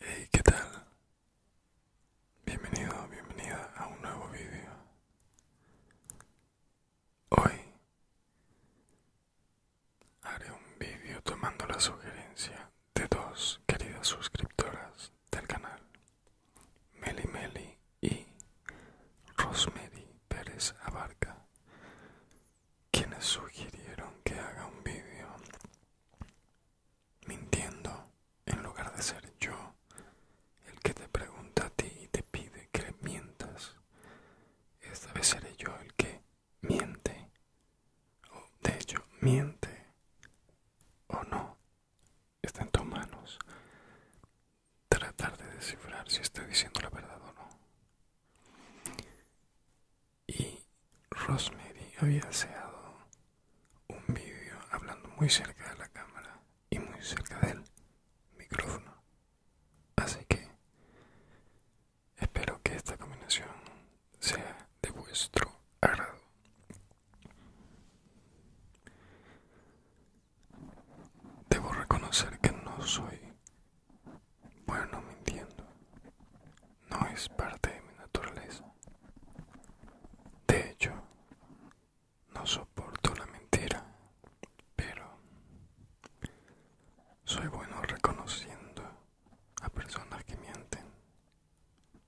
Hey, ¿qué tal? Bienvenido, bienvenida a un nuevo video. Hoy haré un vídeo tomando la sugerencia de dos queridas suscriptoras del canal, Meli Meli y Rosemary Pérez Abarca, quienes sugirieron que haga un vídeo mintiendo en lugar de ser yo el que te pregunta a ti y te pide que mientas. Esta vez seré yo el que miente o de hecho miente o no, está en tus manos tratar de descifrar si estoy diciendo la verdad o no. Y Rosemary había deseado un vídeo hablando muy cerca de la cámara y muy cerca del micrófono. Así que Espero que esta combinación sea de vuestro agrado. Debo reconocer que no soy bueno mintiendo. No es parte de mi naturaleza. De hecho, no soporto la mentira, pero soy bueno reconociendo a personas que mienten.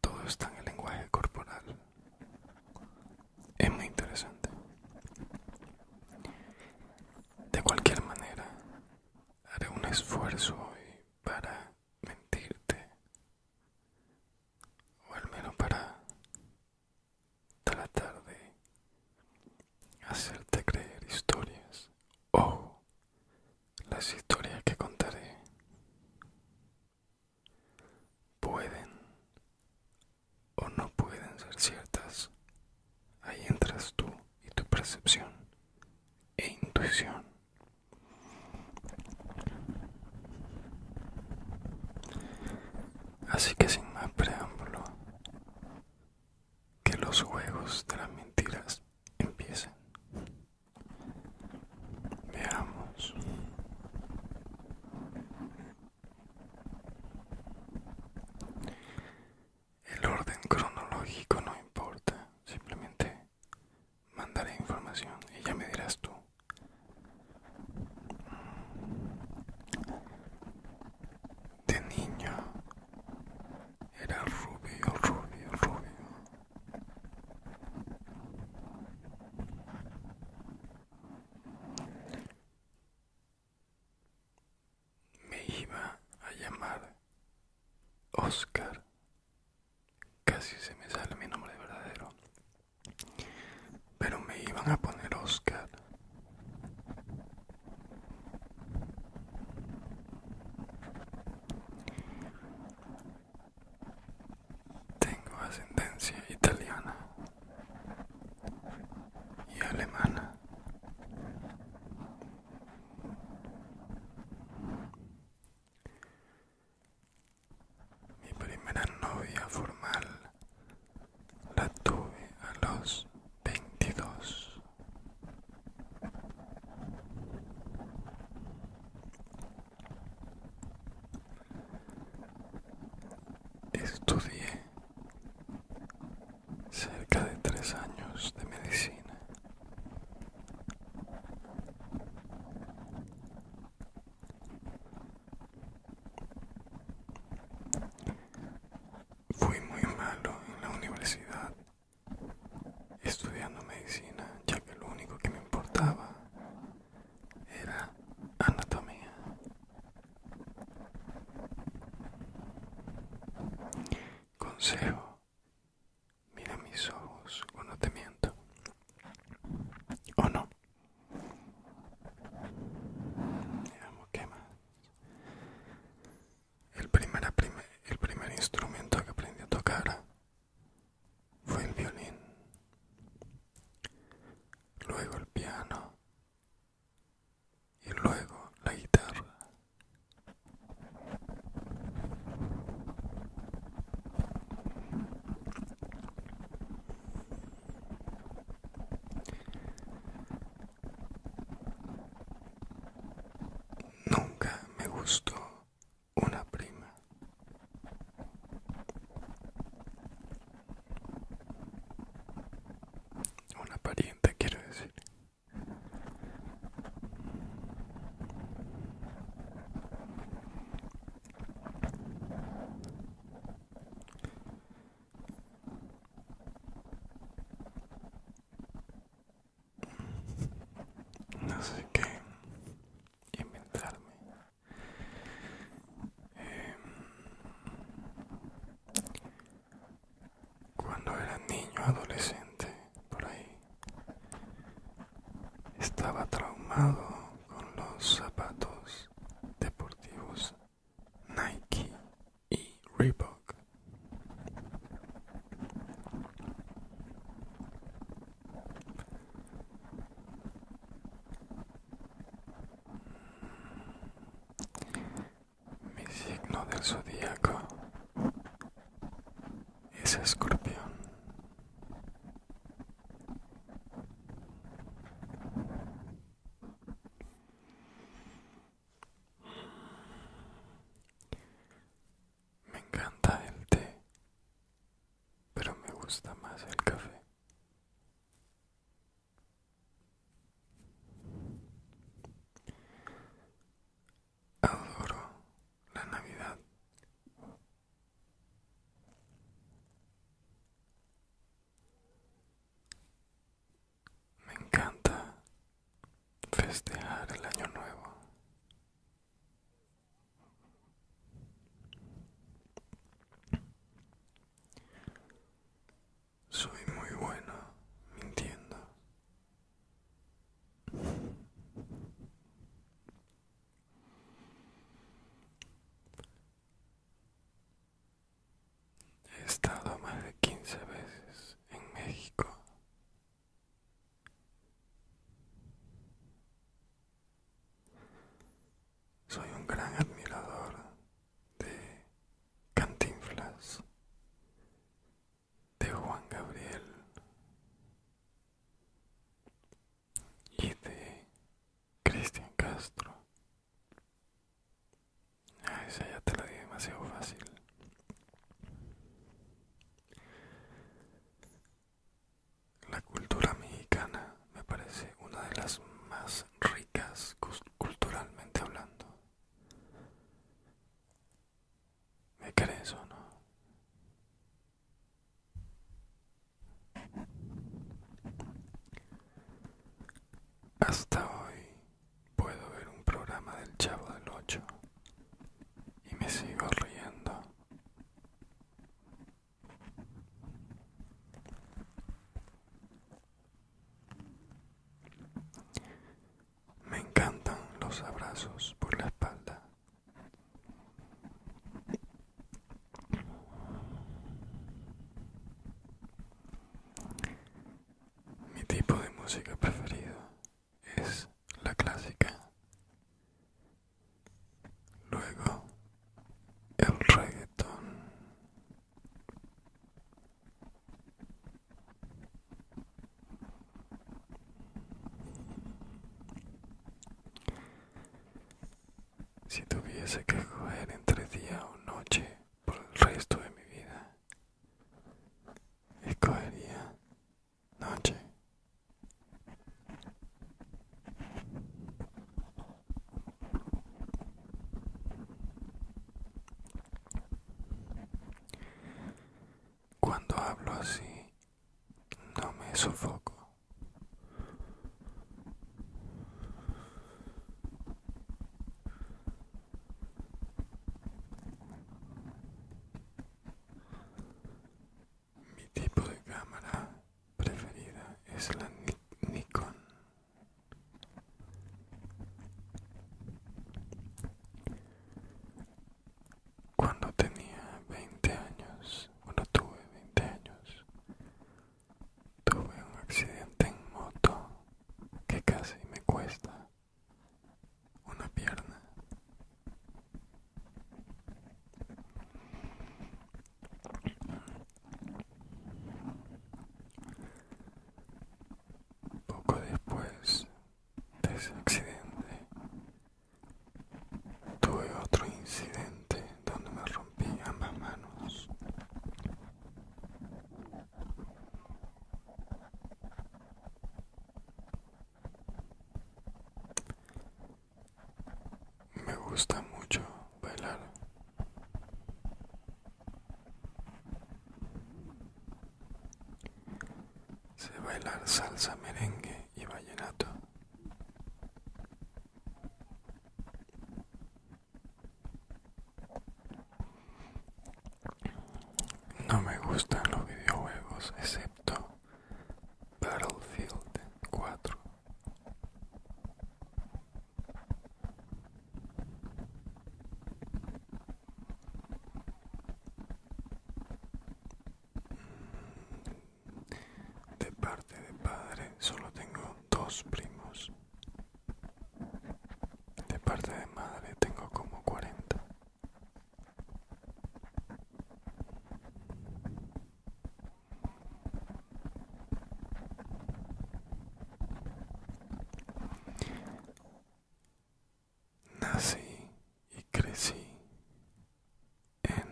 Todo está en el lenguaje corporal. Es muy interesante. De cualquier manera, haré un esfuerzo hoy para mentirte. O al menos para tratar de hacerte creer historias o las historias que contaré pueden o no pueden ser ciertas. Ahí entras tú y tu percepción e intuición. Así que sin más preámbulo, que los juegos de las mentiras empiecen. Veamos. El orden cronológico no importa, simplemente mandaré información y ya me dirás tú de niño era rubio, rubio, rubio. Me iba a llamar Oscar. Casi se me sale mi nombre verdadero. Pero me iban a poner Oscar. Tengo ascendencia italiana y alemana. Mi primera novia formal la tuve a los 22 Estudié cerca de tres años de medicina. Fui muy malo en la universidad estudiando medicina, ya que lo único que me importaba era anatomía. Consejo, mira mis ojos o no te miento. ¿O no? qué más. El primer, instrumento que aprendí a tocar fue el violín, luego el piano y luego la guitarra. Nunca me gustó una prima. Una pariente, quiero decir no sé qué inventarme em, cuando era niño adolescente por ahí estaba traumado con los zapatos deportivos Nike y Reebok. Mi signo del zodíaco es escorpión. Me encanta el té, pero me gusta más el café. Adoro la Navidad. Me encanta festejar el año nuevo. Soy muy bueno mintiendo. He estado más de 15 veces en México. Soy un gran admirador de Cantinflas, de Juan Gabriel y de Cristian Castro. Ah, esa ya te la di demasiado fácil. La cultura mexicana me parece una de las más ricas culturalmente hablando. ¿Me crees o no? Hasta hoy puedo ver un programa del Chavo del Ocho y me sigo riendo. Me encantan los abrazos por la espalda. Mi tipo de música preferido es la clásica. Luego el reggaetón. Si tuviese que escoger entre día o noche por el resto de mi vida, escogería noche. Cuando hablo así, no me sofoco. Mi tipo de cámara preferida es la Nikon. Cuando tenía 20 años, cuando tuve 20 años, tuve un accidente en moto que casi me cuesta una pierna poco después de ese accidente tuve otro incidente donde me rompí ambas manos me gusta mucho bailar. Se bailar salsa, merengue y vallenato. No me gustan los videojuegos excepto Battlefield 4. Mm, de parte de padre solo tengo dos primos. De parte de madre tengo como 40. Nací y crecí en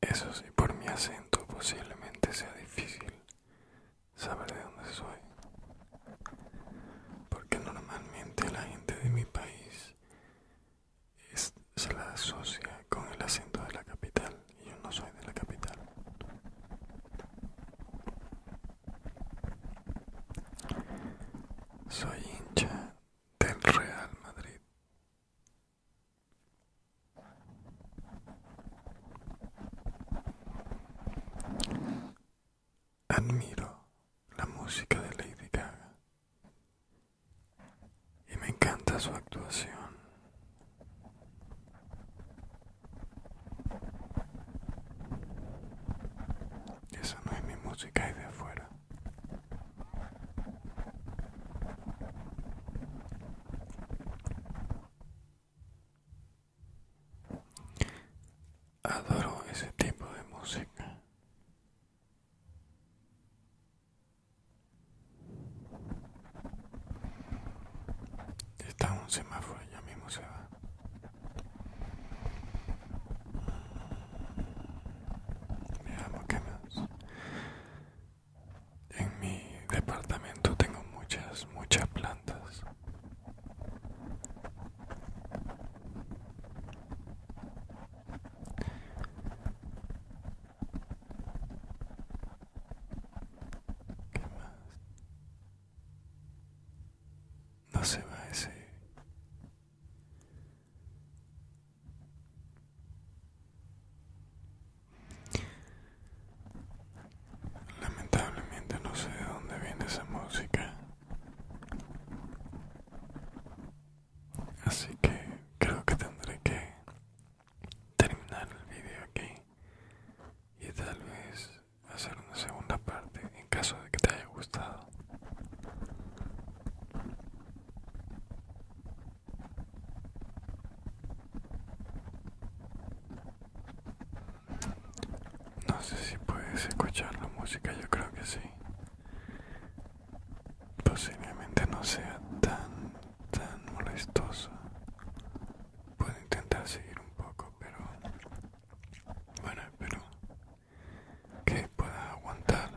eso sí, por mi acento posiblemente sea difícil saber de dónde soy. Porque normalmente la gente de mi país se la asocia con el acento de la capital yo no soy de la capital. Soy hincha del Real Madrid. Admiro la música de Lady Gaga y me encanta su actuación. Esa no es mi música, es de afuera. Adoro ese tipo de música. Está un semáforo, ya mismo se va. Veamos qué más. En mi departamento tengo muchas, muchas plantas. ¿Qué más? No se va ese. Lamentablemente no sé de dónde viene esa música. Así que creo que tendré que terminar el vídeo aquí y tal vez hacer una segunda parte en caso de que te haya gustado no sé si puedes escuchar la música yo creo que sí posiblemente no sea tan tan molestoso puedo intentar seguir un poco pero bueno espero que pueda aguantar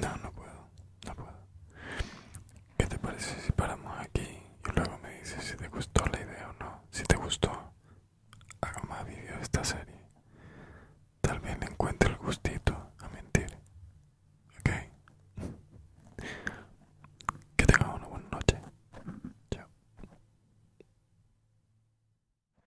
no, no puedo, no puedo. ¿Qué te parece si paramos aquí y luego me dices si te gustó la idea o no? Si te gustó, Haga más vídeos de esta serie. Tal vez encuentre el gustito a mentir. ¿Ok? Que tengas una buena noche. Chao.